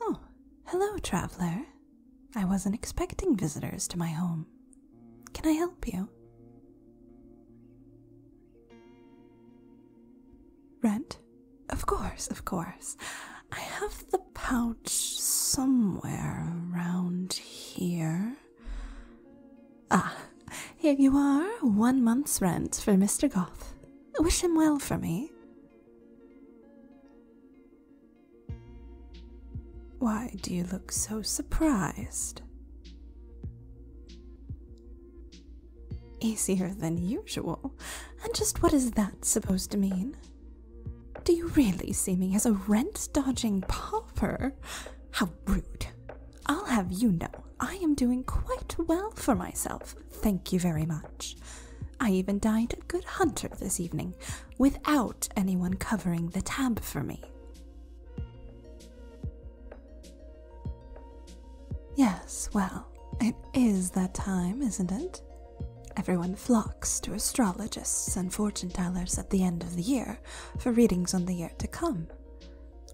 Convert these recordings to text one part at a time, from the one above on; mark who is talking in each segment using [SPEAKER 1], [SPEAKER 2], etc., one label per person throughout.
[SPEAKER 1] Oh, hello, traveler. I wasn't expecting visitors to my home. Can I help you? Rent? Of course, of course. I have the pouch somewhere around here. Ah, here you are. One month's rent for Mr. Goth. Wish him well for me. Why do you look so surprised? Easier than usual. And just what is that supposed to mean? Do you really see me as a rent dodging pauper? How rude. I'll have you know I am doing quite well for myself, thank you very much. I even dined a Good Hunter this evening, without anyone covering the tab for me. Yes, well, it is that time, isn't it? Everyone flocks to astrologists and fortune tellers at the end of the year for readings on the year to come.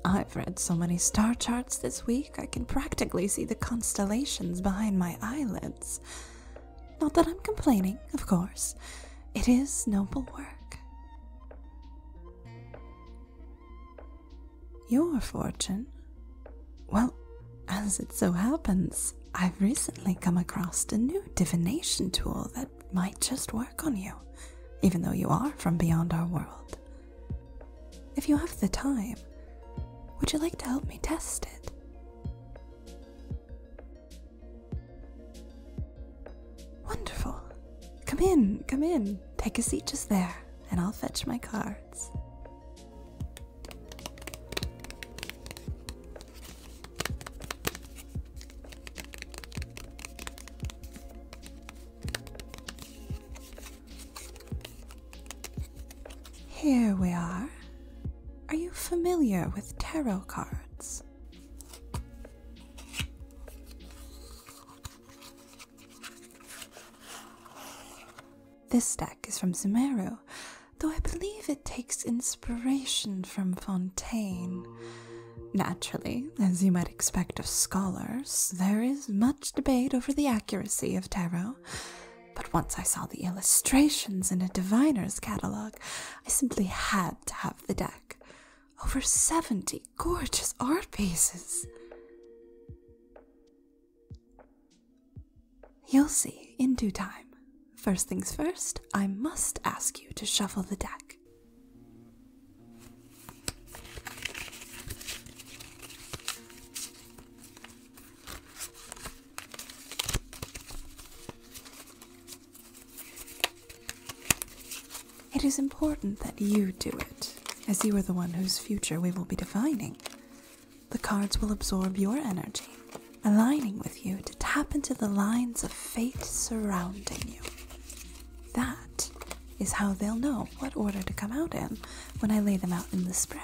[SPEAKER 1] I've read so many star charts this week, I can practically see the constellations behind my eyelids. Not that I'm complaining, of course. It is noble work. Your fortune? Well, as it so happens, I've recently come across a new divination tool that might just work on you, even though you are from beyond our world. If you have the time, would you like to help me test it? Wonderful. Come in, come in. Take a seat just there, and I'll fetch my cards. Here we are. Are you familiar with tarot cards? This deck is from Zimero, though I believe it takes inspiration from Fontaine. Naturally, as you might expect of scholars, there is much much debate over the accuracy of tarot, but once I saw the illustrations in a diviner's catalogue, I simply had to have the deck. Over 70 gorgeous art pieces. You'll see in due time. First things first, I must ask you to shuffle the deck. It is important that you do it, as you are the one whose future we will be defining. The cards will absorb your energy, aligning with you to tap into the lines of fate surrounding you. That is how they'll know what order to come out in when I lay them out in the spread.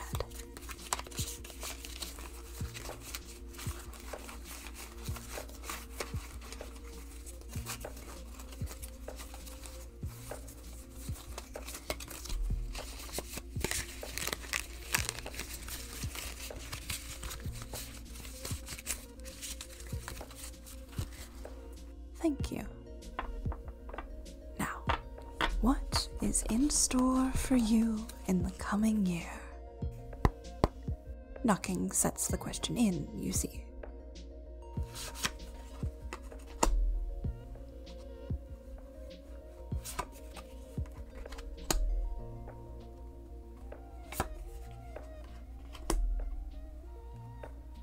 [SPEAKER 1] Thank you. Now, what is in store for you in the coming year? Knocking sets the question in, you see.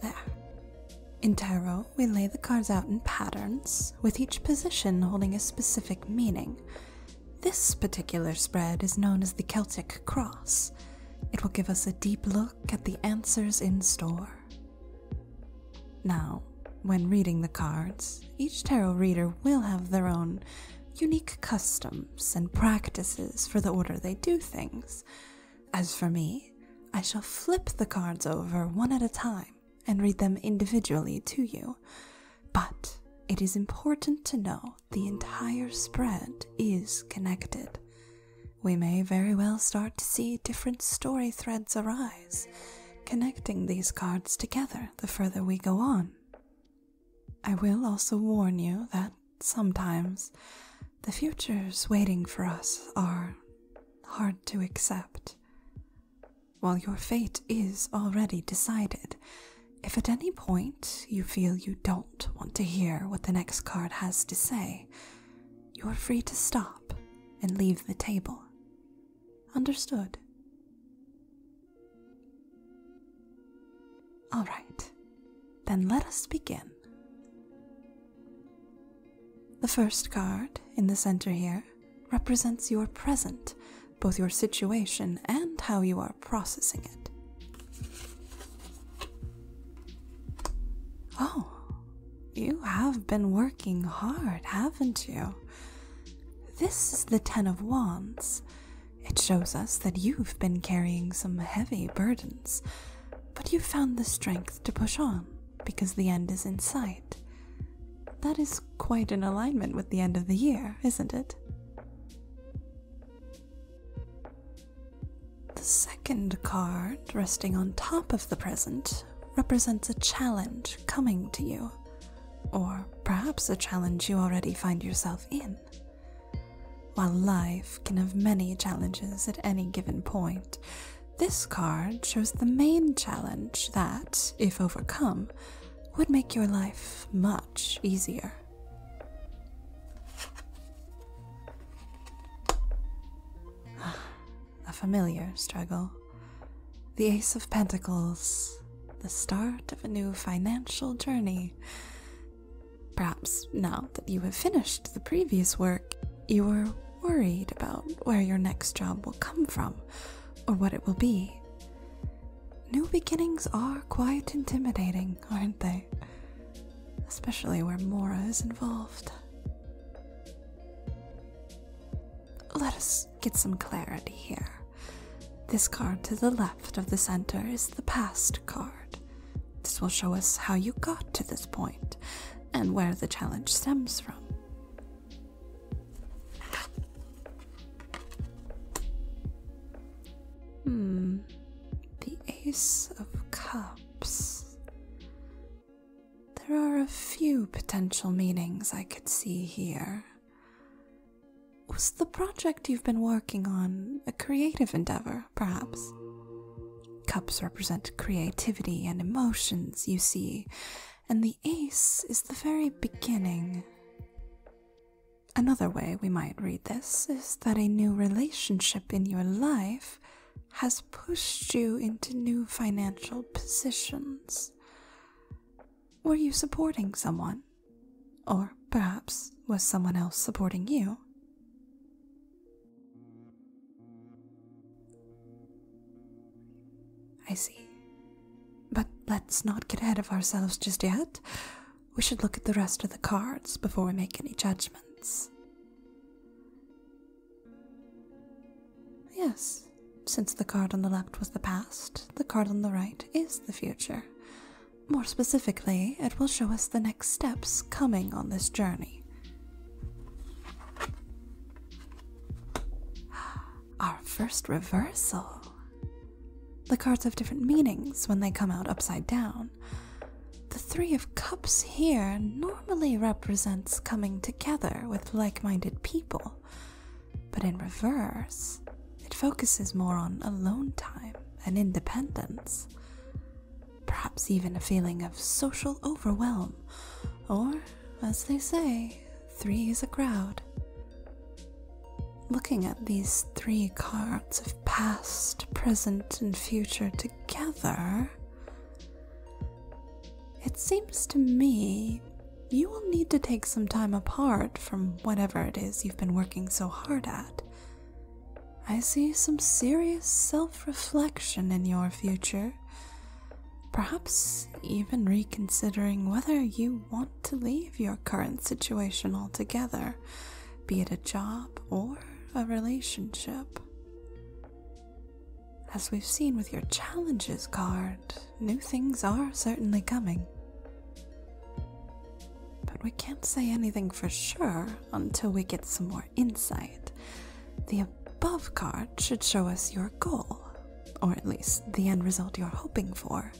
[SPEAKER 1] There. In tarot, we lay the cards out in patterns, with each position holding a specific meaning. This particular spread is known as the Celtic Cross. It will give us a deep look at the answers in store. Now, when reading the cards, each tarot reader will have their own unique custom and practices for the order they do things. As for me, I shall flip the cards over one at a time and read them individually to you. But it is important to know the entire spread is connected. We may very well start to see different story threads arise, connecting these cards together the further we go on. I will also warn you that sometimes the futures waiting for us are hard to accept. While your fate is already decided, if at any point you feel you don't want to hear what the next card has to say, you're free to stop and leave the table. Understood? All right, then let us begin. The first card in the center here represents your present, both your situation and how you are processing it. Oh, you have been working hard, haven't you? This is the Ten of Wands, it shows us that you've been carrying some heavy burdens, but you've found the strength to push on because the end is in sight. That is quite in alignment with the end of the year, isn't it? The second card, resting on top of the present, represents a challenge coming to you or perhaps a challenge you already find yourself in. While life can have many challenges at any given point, this card shows the main challenge that, if overcome, would make your life much easier. a familiar struggle. The Ace of Pentacles, the start of a new financial journey. Perhaps now that you have finished the previous work, you are worried about where your next job will come from or what it will be. New beginnings are quite intimidating, aren't they? Especially where Mora is involved. Let us get some clarity here. This card to the left of the center is the past card. This will show us how you got to this point and where the challenge stems from. Hmm, the Ace of Cups. There are a few potential meanings I could see here. Was the project you've been working on a creative endeavor, perhaps? Cups represent creativity and emotions, you see, and the ace is the very beginning. Another way we might read this is that a new relationship in your life has pushed you into new financial positions. Were you supporting someone? Or perhaps was someone else supporting you? I see. But let's not get ahead of ourselves just yet. We should look at the rest of the cards before we make any judgments. Yes, since the card on the left was the past, the card on the right is the future. More specifically, it will show us the next steps coming on this journey. Our first reversal. The cards have different meanings when they come out upside down. The Three of Cups here normally represents coming together with like minded people. But in reverse, it focuses more on alone time and independence. Perhaps even a feeling of social overwhelm, or, as they say, three is a crowd. Looking at these three cards of past, present, and future together, it seems to me you will need to take some time apart from whatever it is you've been working so hard at. I see some serious self reflection in your future. Perhaps even reconsidering whether you want to leave your current situation altogether, be it a job or a relationship. As we've seen with your challenges card, new things are certainly coming. But we can't say anything for sure until we get some more insight. The above card should show us your goal, or at least the end result you're hoping for.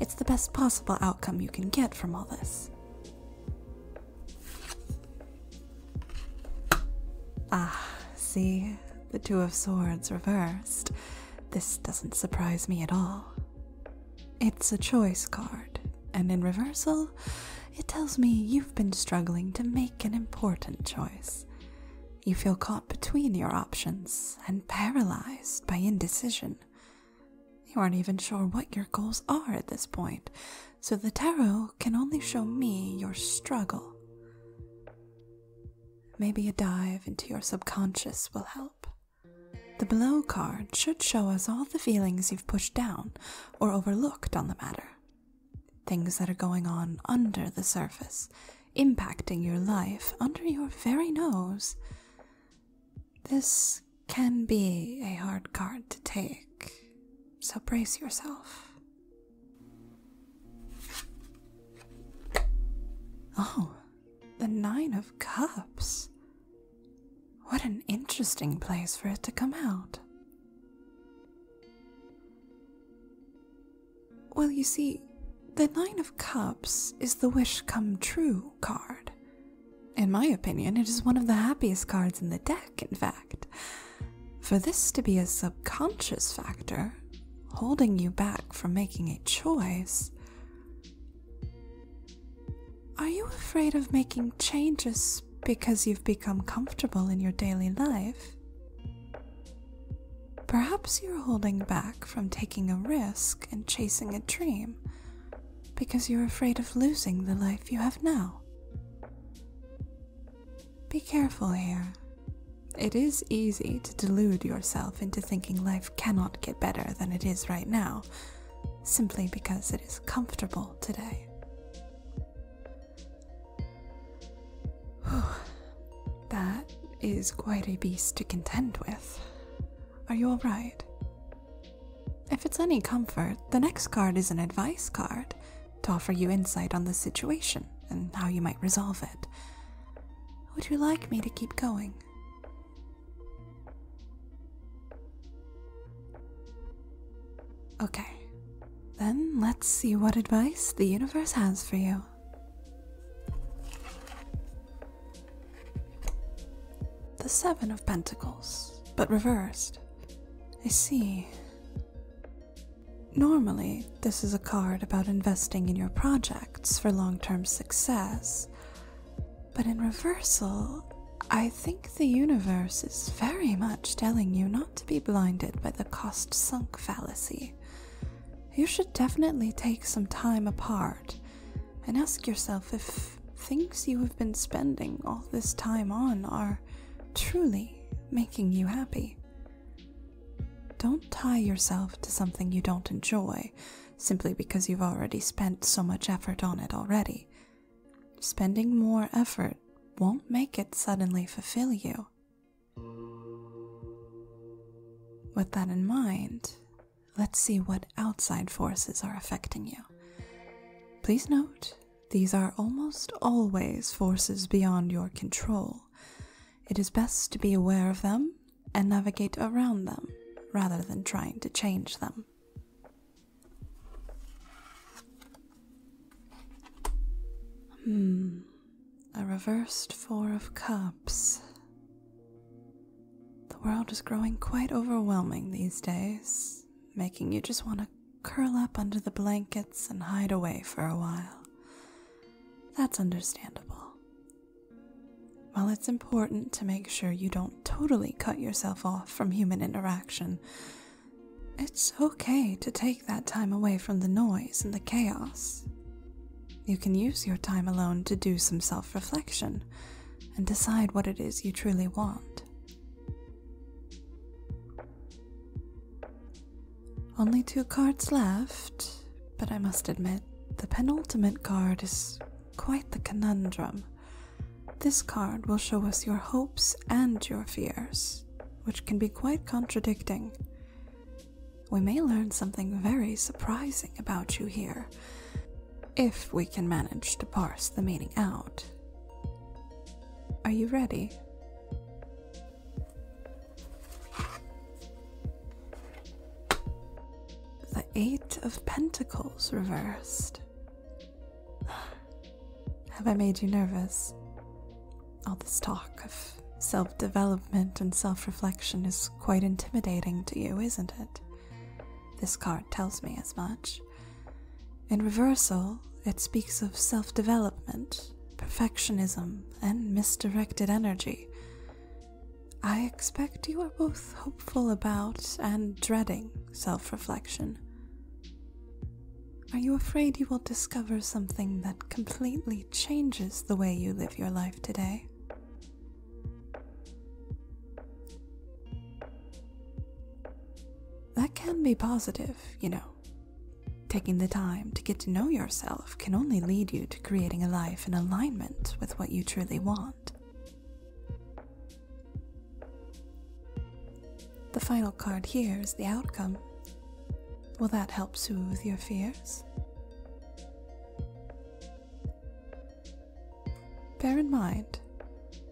[SPEAKER 1] It's the best possible outcome you can get from all this. Ah, see, the Two of Swords reversed. This doesn't surprise me at all. It's a choice card, and in reversal, it tells me you've been struggling to make an important choice. You feel caught between your options and paralyzed by indecision. You aren't even sure what your goals are at this point, so the tarot can only show me your struggle. Maybe a dive into your subconscious will help. The below card should show us all the feelings you've pushed down or overlooked on the matter. Things that are going on under the surface, impacting your life under your very nose. This can be a hard card to take, so brace yourself. Oh, the Nine of Cups. What an interesting place for it to come out. Well, you see, the Nine of Cups is the Wish Come True card. In my opinion, it is one of the happiest cards in the deck in fact. For this to be a subconscious factor, holding you back from making a choice. Are you afraid of making changes because you've become comfortable in your daily life? Perhaps you're holding back from taking a risk and chasing a dream because you're afraid of losing the life you have now. Be careful here. It is easy to delude yourself into thinking life cannot get better than it is right now, simply because it is comfortable today. Whew. That is quite a beast to contend with. Are you alright? If it's any comfort, the next card is an advice card, to offer you insight on the situation and how you might resolve it. Would you like me to keep going? Okay, then let's see what advice the universe has for you. The Seven of Pentacles, but reversed. I see. Normally, this is a card about investing in your projects for long term success, but in reversal, I think the universe is very much telling you not to be blinded by the cost sunk fallacy. You should definitely take some time apart and ask yourself if things you have been spending all this time on are truly making you happy. Don't tie yourself to something you don't enjoy simply because you've already spent so much effort on it already. Spending more effort won't make it suddenly fulfill you. With that in mind, let's see what outside forces are affecting you. Please note these are almost always forces beyond your control. It is best to be aware of them and navigate around them rather than trying to change them. Hmm, a reversed Four of Cups. The world is growing quite overwhelming these days, making you just want to curl up under the blankets and hide away for a while. That's understandable. While it's important to make sure you don't totally cut yourself off from human interaction, it's okay to take that time away from the noise and the chaos. You can use your time alone to do some self reflection and decide what it is you truly want. Only two cards left, but I must admit, the penultimate card is quite the conundrum. This card will show us your hopes and your fears, which can be quite contradicting. We may learn something very surprising about you here, if we can manage to parse the meaning out. Are you ready? The Eight of Pentacles reversed. Have I made you nervous? All this talk of self development and self reflection is quite intimidating to you, isn't it? This card tells me as much. In reversal, it speaks of self development, perfectionism, and misdirected energy. I expect you are both hopeful about and dreading self reflection. Are you afraid you will discover something that completely changes the way you live your life today? That can be positive, you know. Taking the time to get to know yourself can only lead you to creating a life in alignment with what you truly want. The final card here is the outcome. Will that help soothe your fears? Bear in mind,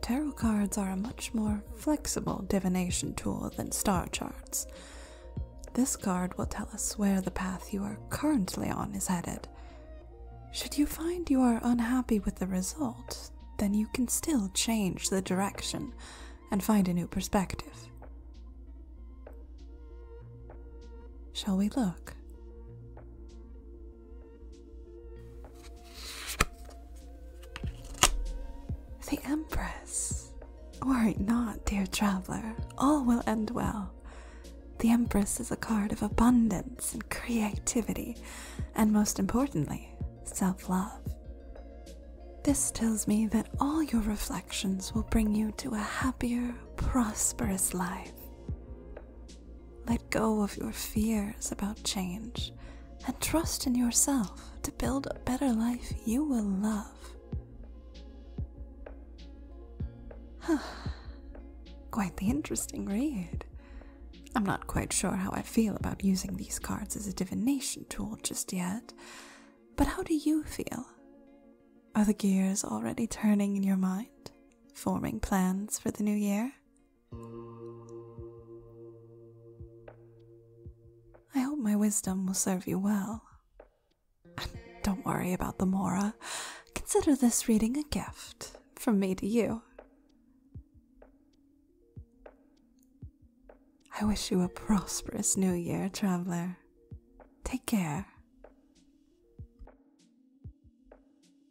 [SPEAKER 1] tarot cards are a much more flexible divination tool than star charts. This card will tell us where the path you are currently on is headed. Should you find you are unhappy with the result, then you can still change the direction and find a new perspective. Shall we look? The Empress. Worry right, not, dear traveler, all will end well. The Empress is a card of abundance and creativity, and most importantly, self love. This tells me that all your reflections will bring you to a happier, prosperous life. Let go of your fears about change and trust in yourself to build a better life you will love. Huh. Quite the interesting read. I'm not quite sure how I feel about using these cards as a divination tool just yet, but how do you feel? Are the gears already turning in your mind, forming plans for the new year? I hope my wisdom will serve you well. And don't worry about the Mora. Consider this reading a gift from me to you. I wish you a prosperous new year, traveler. Take care.